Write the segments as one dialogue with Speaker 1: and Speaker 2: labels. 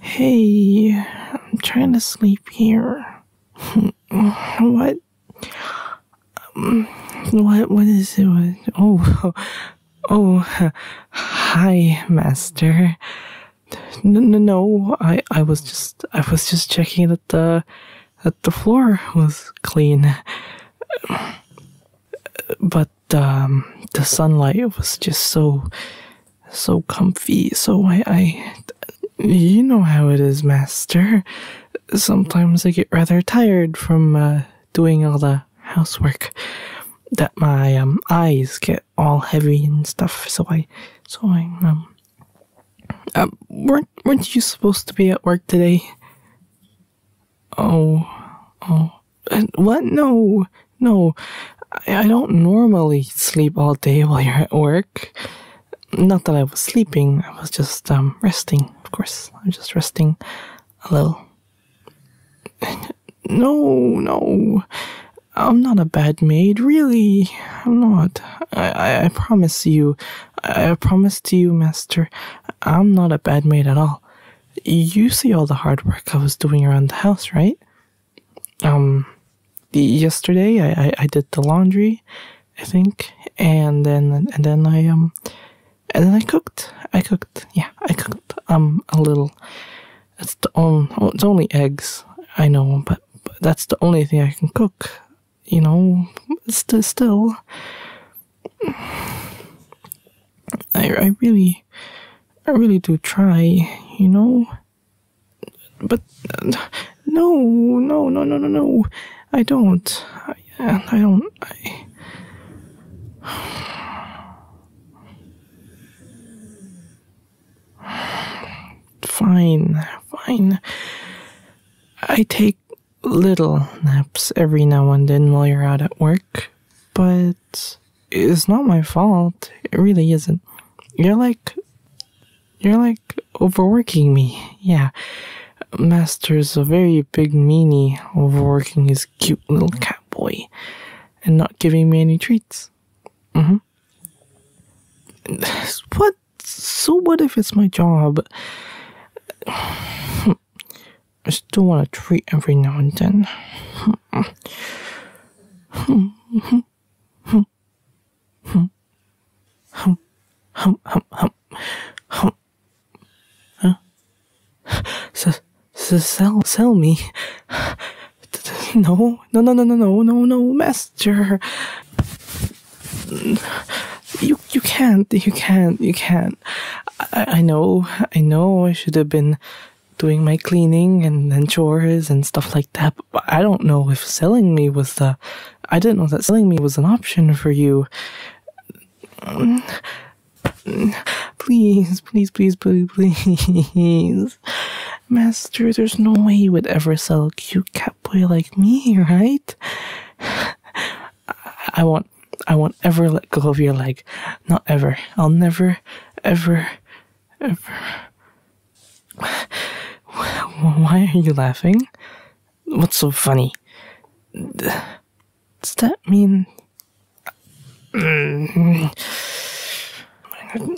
Speaker 1: Hey, I'm trying to sleep here. What? Um, what? What is it? Oh, Oh, hi, master. No, no, no. I, I was just, I was just checking that the, that the floor was clean. But um, the sunlight was just so, so comfy. So I, I, you know how it is, master. Sometimes I get rather tired from uh, doing all the housework that my um, eyes get all heavy and stuff. So I, so I um, um, weren't weren't you supposed to be at work today? Oh, oh, what? No, no, I, I don't normally sleep all day while you're at work. Not that I was sleeping, I was just um resting. Of course, I'm just resting a little. No, no. I'm not a bad maid, really. I'm not. I, I, promise you. I, I promise to you, master. I'm not a bad maid at all. You see all the hard work I was doing around the house, right? Um, yesterday I, I, I did the laundry, I think, and then and then I um and then I cooked. I cooked. Yeah, I cooked um a little. It's the um, it's only eggs. I know, but, that's the only thing I can cook. You know, st- still. I, I really, I really do try, you know. But uh, no, no, no, no, no, no. I don't yeah, I don't. I... fine, fine. I take little naps every now and then while you're out at work, but it's not my fault. It really isn't. You're like. You're like overworking me. Yeah. Master's a very a big meanie overworking his cute little cat boy and not giving me any treats. Mm hmm. What? So, what if it's my job? I still want a treat every now and then. Huh? S- s- sell, sell me. No, no, no, no, no, no, no, master. You, you can't, you can't, you can't. I, I know, I know I should have been doing my cleaning and, and chores and stuff like that, but I don't know if selling me was the. I didn't know that selling me was an option for you. Please, please, please, please, please. Master, there's no way you would ever sell a cute boy like me, right? I won't, I won't ever let go of your leg. Not ever. I'll never, ever, ever. Why are you laughing? What's so funny? Does that mean. Mm,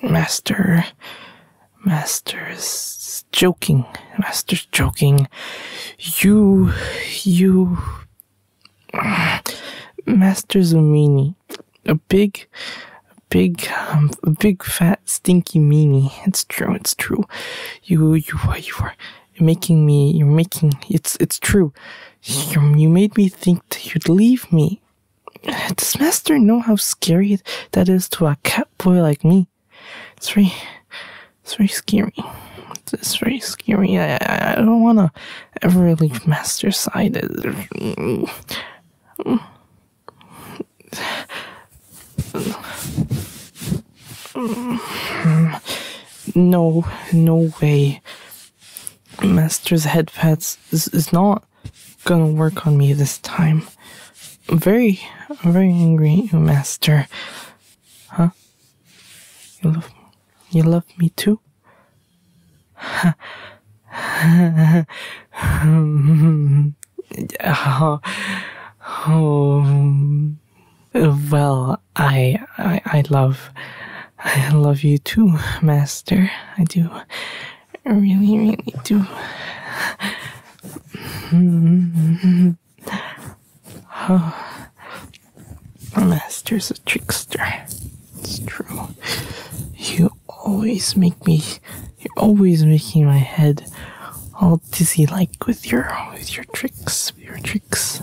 Speaker 1: master. Master is joking. Master's joking. You. You. Master's a meanie. A big. A big, um, a big fat stinky meanie. It's true. It's true. You, you are, you are. You're making me you're making it's it's true you, you made me think that you'd leave me does master know how scary that is to a cat boy like me it's very it's very scary it's, it's very scary i i, I don't want to ever leave master's side no, no way. Master's head pats is, is not gonna work on me this time. I'm very, I'm very angry at you, Master. Huh? You love, you love me too? oh, well, I, I, I love, I love you too, Master. I do, really, really do. Master's a trickster. It's true. You always make me, you're always making my head all dizzy like with your, with your tricks, your tricks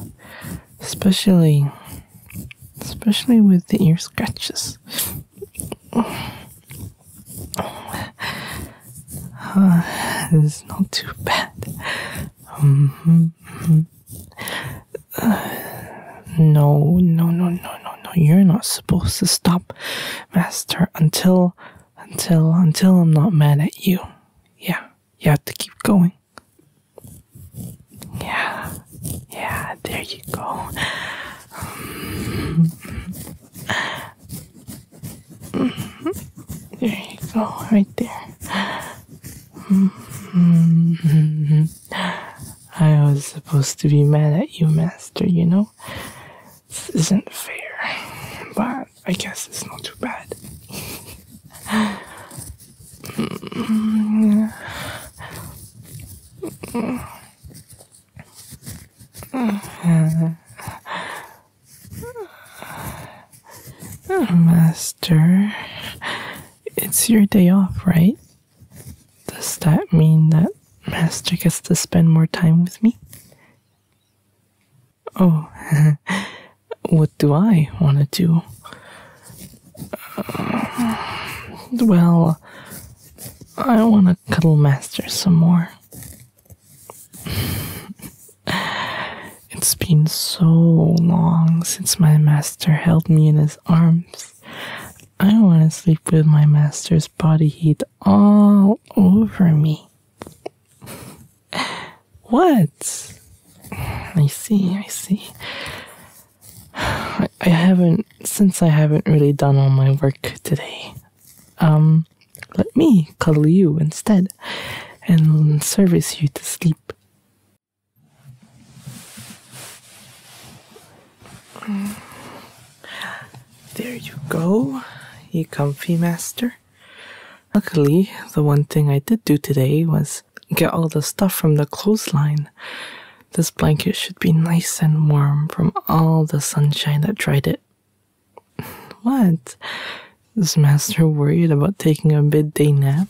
Speaker 1: especially especially with the ear scratches. Uh, it's not too bad. Mm-hmm. no, no, no, no, no, no. You're not supposed to stop, Master, until, until, until I'm not mad at you. Yeah, you have to keep going. Yeah,
Speaker 2: yeah, there you go.
Speaker 1: There you go, right there. I was supposed to be mad at you, Master, you know? This isn't fair. But I guess it's not too bad. Master, it's your day off, right? Does that mean that Master gets to spend more time with me? Oh, what do I want to do? Uh, well, I want to cuddle Master some more. it's been so long since my master held me in his arms. I want to sleep with my master's body heat all over me what? I see, I see. I, haven't, since I haven't really done all my work today, um, let me cuddle you instead and service you to sleep. There you go, you comfy master. Luckily, the one thing I did do today was get all the stuff from the clothesline. This blanket should be nice and warm from all the sunshine that dried it. What? Is Master worried about taking a midday nap?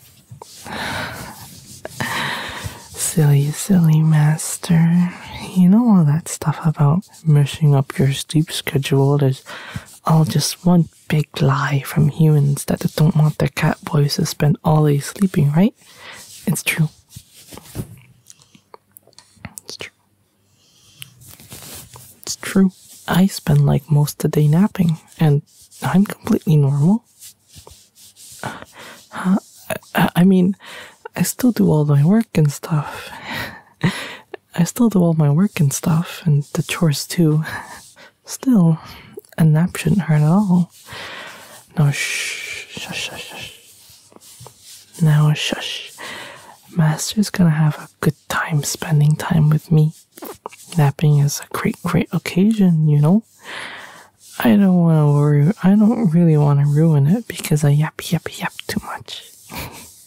Speaker 1: silly, silly Master. You know all that stuff about messing up your sleep schedule. There's all just one big lie from humans that they don't want their cat boys to spend all day sleeping, right? It's true. It's true. It's true. I spend like most of the day napping, and I'm completely normal. Uh, I mean, I still do all my work and stuff. I still do all my work and stuff, and the chores too. Still, a nap shouldn't hurt at all. Now shh, shush, shush, shush. Now shush. Master's gonna have a good time spending time with me. Napping is a great, great occasion, you know? I don't want to worry, I don't really want to ruin it because I yappy, yappy, yappy too much.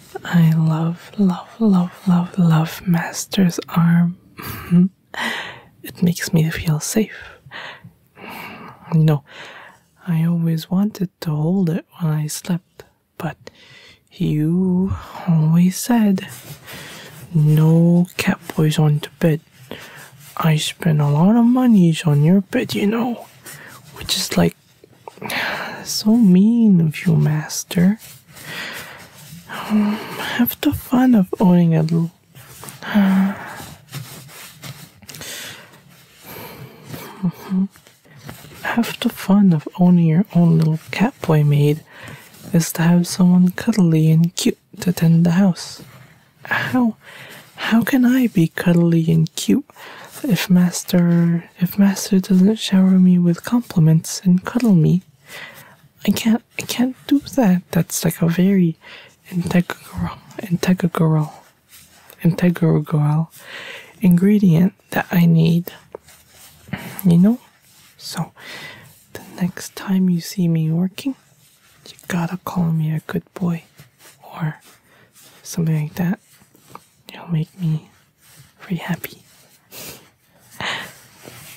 Speaker 1: I love, love, love, love, love Master's arm. it makes me feel safe. You know, I always wanted to hold it when I slept, but you always said no cat boys on the bed. I spend a lot of money on your bed, you know, which is like so mean of you, Master. have the fun of owning a uh, mm the fun of owning your own little cat boy maid is to have someone cuddly and cute to tend the house. How how can I be cuddly and cute if master if master doesn't shower me with compliments and cuddle me. I can't I can't do that. That's like a very integral integral integral ingredient that I need. You know? So the next time you see me working, you gotta call me a good boy or something like that. You'll make me very happy.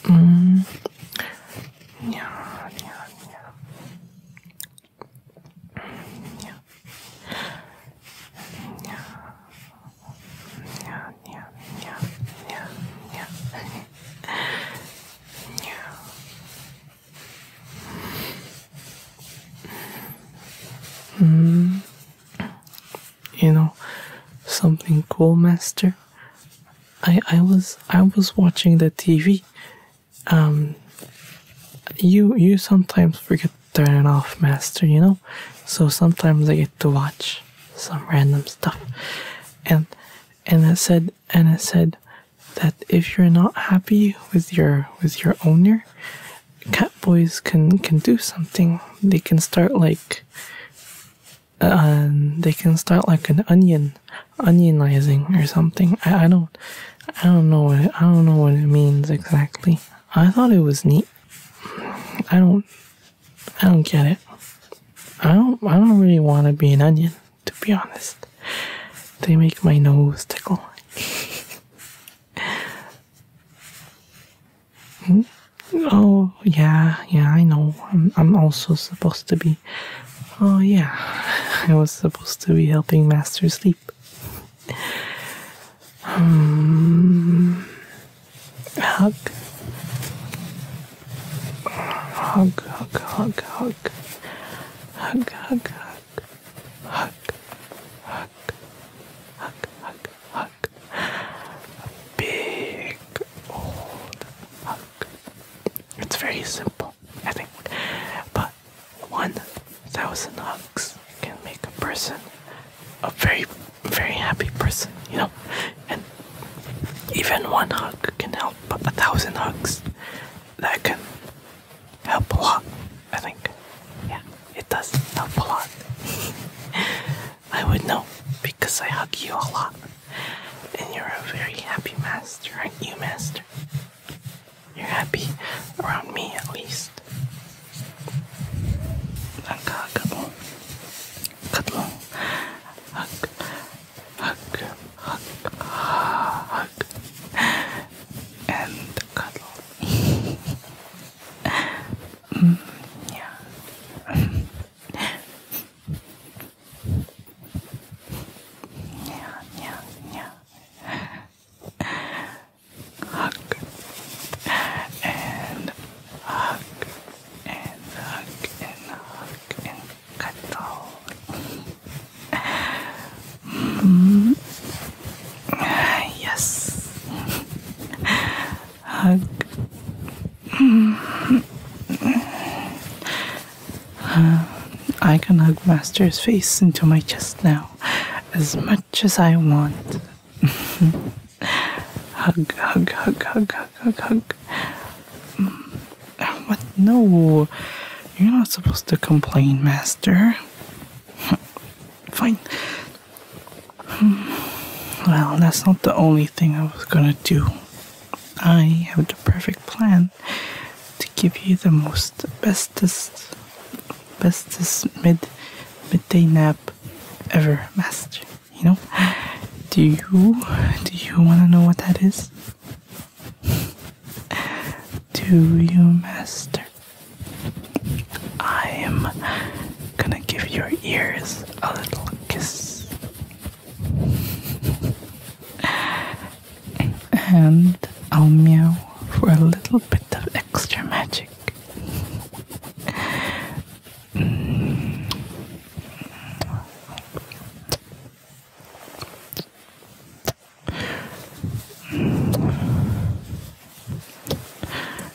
Speaker 1: mm. yeah, yeah, yeah. Yeah. Yeah. Yeah, yeah, yeah, yeah, yeah. Mm you know something cool master i i was i was watching the tv um you you sometimes forget turning off master you know so sometimes i get to watch some random stuff and and i said and i said that if you're not happy with your with your owner Catboys can can do something. They can start like um, they can start like an onion, onionizing or something. I, I don't, I don't know. What it, I don't know what it means exactly. I thought it was neat. I don't, I don't get it. I don't, I don't really want to be an onion, to be honest. They make my nose tickle. Oh, yeah, yeah, I know. I'm, I'm also supposed to be. Oh, yeah, I was supposed to be helping Master sleep. Hmm. hug, hug, hug. Hug, hug, hug. Hug, hug, hug, hug, hug, hug. A big old hug. It's very simple, I think. But 1,000 hugs can make a person a very, very happy person, you know? And even one hug can help, but a thousand hugs, that can help a lot, I think. Yeah. It does help a lot. I would know because I hug you a lot. And you're a very happy master, aren't you, master? You're happy around me at least. Hug mo. Hug mo. Hug. Hug.
Speaker 2: Hug. Hug. And cuddle. Mm, yeah. yeah, yeah, Hug and hug and hug and hug and cuddle. -hmm. Yes.
Speaker 1: Hug. Uh, I can hug Master's face into my chest now as much as I want. hug, hug, hug, hug, hug, hug, hug. What? No. You're not supposed to complain, Master. Fine. Hmm. Well, that's not the only thing I was gonna do. I have the perfect plan to give you the most bestest, bestest mid midday nap ever, master. You know? Do you do you wanna know what that is? do you, master? I'm gonna give your ears a little kiss. and I'll meow for a little bit of extra magic.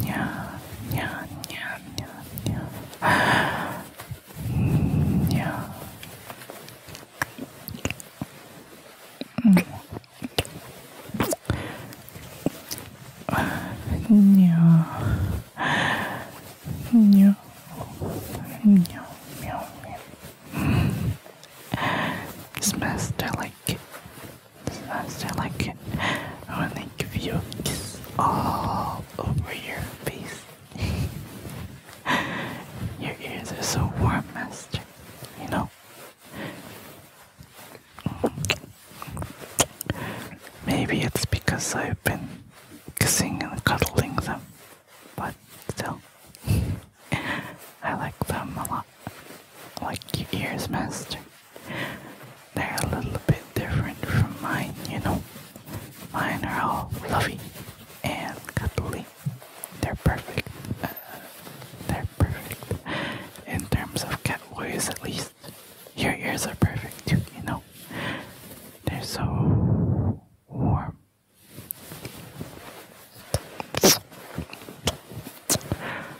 Speaker 2: yeah, yeah, yeah, yeah, yeah. yeah. Meow. Meow.
Speaker 1: Meow. Meow. Meow. Smells like so I can only give you a kiss all over your face. your ears are so warm, Master. You know. Maybe it's because I've been kissing and cuddling them, but still, I like them a lot. like your ears, Master. They're a little bit different from mine, you know. Mine are all fluffy and cuddly. They're perfect. Uh, they're perfect. In terms of cat voice, at least. Your ears are perfect too, you know. They're so warm.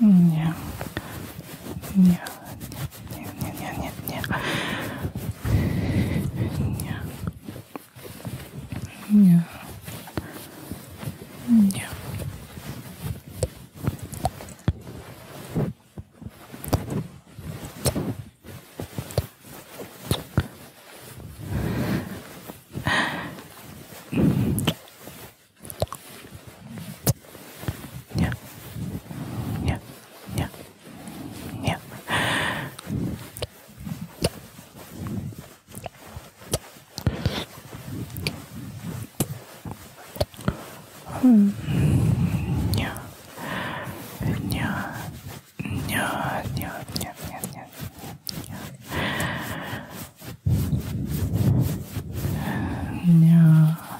Speaker 2: Не. Не. Не, не, не, не, не. Не. Не. Не. Yeah. Yeah. Yeah. Yeah. Hmm. Yeah. Yeah. Yeah. Yeah. Yeah. Yeah. Yeah. Yeah. Yeah.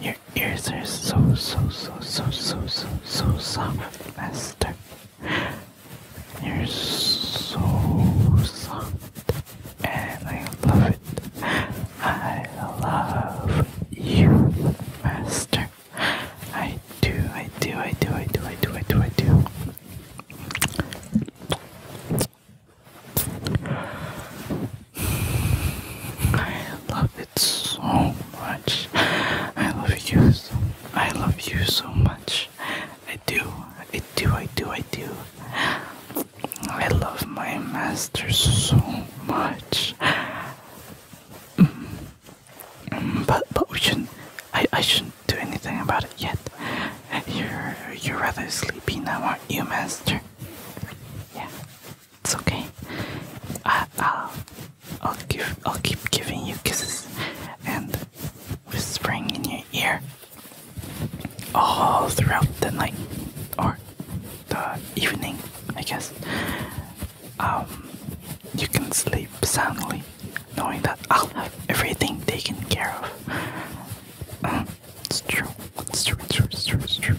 Speaker 1: Your ears are so, so, so, so, so, so, so soft, Master. You're so soft, and I love it. I love you, Master. I do, I do, I do, I do, I do, I do, I do. I love it so much. I love you. So, I love you so much. I do. I do. I do. I do. I love my master so much. Mm. But but we shouldn't. I I shouldn't do anything about it yet. You're you're rather sleepy now, aren't you, master? Yeah. It's okay. I, will I'll give, I'll keep giving you kisses and whispering in your ear all throughout the night or the evening, I guess. Um, you can sleep soundly, knowing that I'll have everything taken care of. Mm, it's true. It's true. It's true. It's true.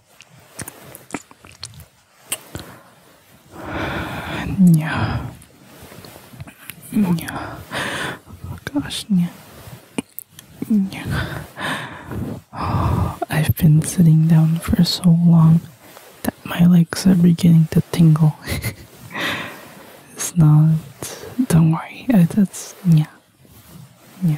Speaker 2: Yeah. Yeah. Oh,
Speaker 1: gosh, yeah. Yeah. Oh, I've been sitting down for so long that my legs are beginning to tingle. it's not. Don't worry. That's yeah.
Speaker 2: Yeah.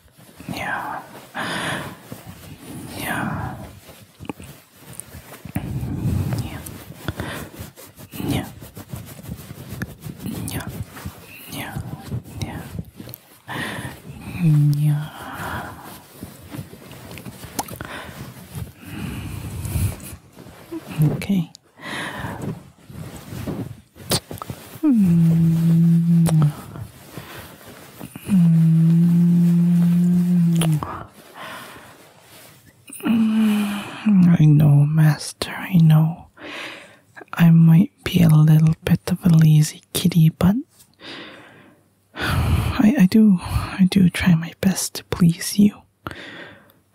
Speaker 2: Yeah. Yeah. Yeah. Yeah. Yeah. Yeah. Yeah. Yeah. Okay. Hmm.
Speaker 1: I know, Master, I know. I might be a little bit of a lazy kitty, but I, I do, I do try my best to please you.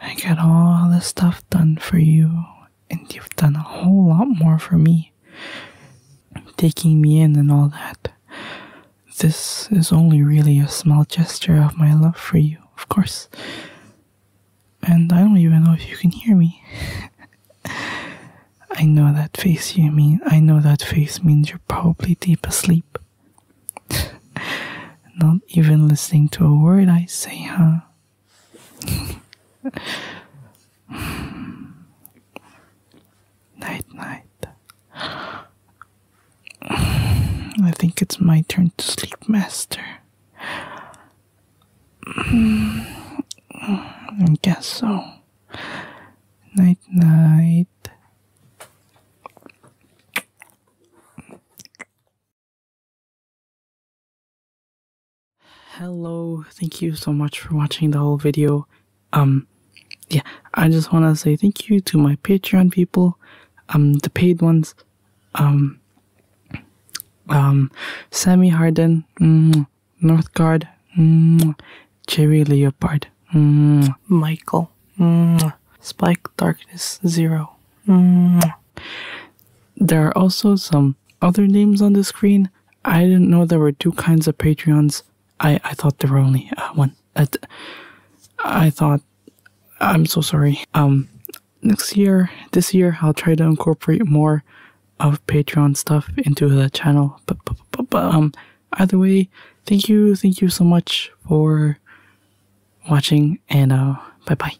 Speaker 1: I get all the stuff done for you and you've done a whole lot more for me, taking me in and all that. This is only really a small gesture of my love for you, of course. And I don't even know if you can hear me. I know that face you mean. I know that face means you're probably deep asleep. Not even listening to a word I say, huh? night, night. I think it's my turn to sleep, Master. I guess so.
Speaker 2: Night, night.
Speaker 1: Hello, thank you so much for watching the whole video. Um, yeah, I just want to say thank you to my Patreon people, um, the paid ones, um, um, Sammy Harden, mm, Northgard, mm, Jerry Leopard, mm, Michael, mm, Spike Darkness Zero, mm, there are also some other names on the screen. I didn't know there were two kinds of Patreons. I, I thought there were only uh, one. Uh, I, thought, I'm so sorry. Um, next year, this year, I'll try to incorporate more of Patreon stuff into the channel. But, but, but um, either way, thank you, thank you so much for watching, and uh, bye bye.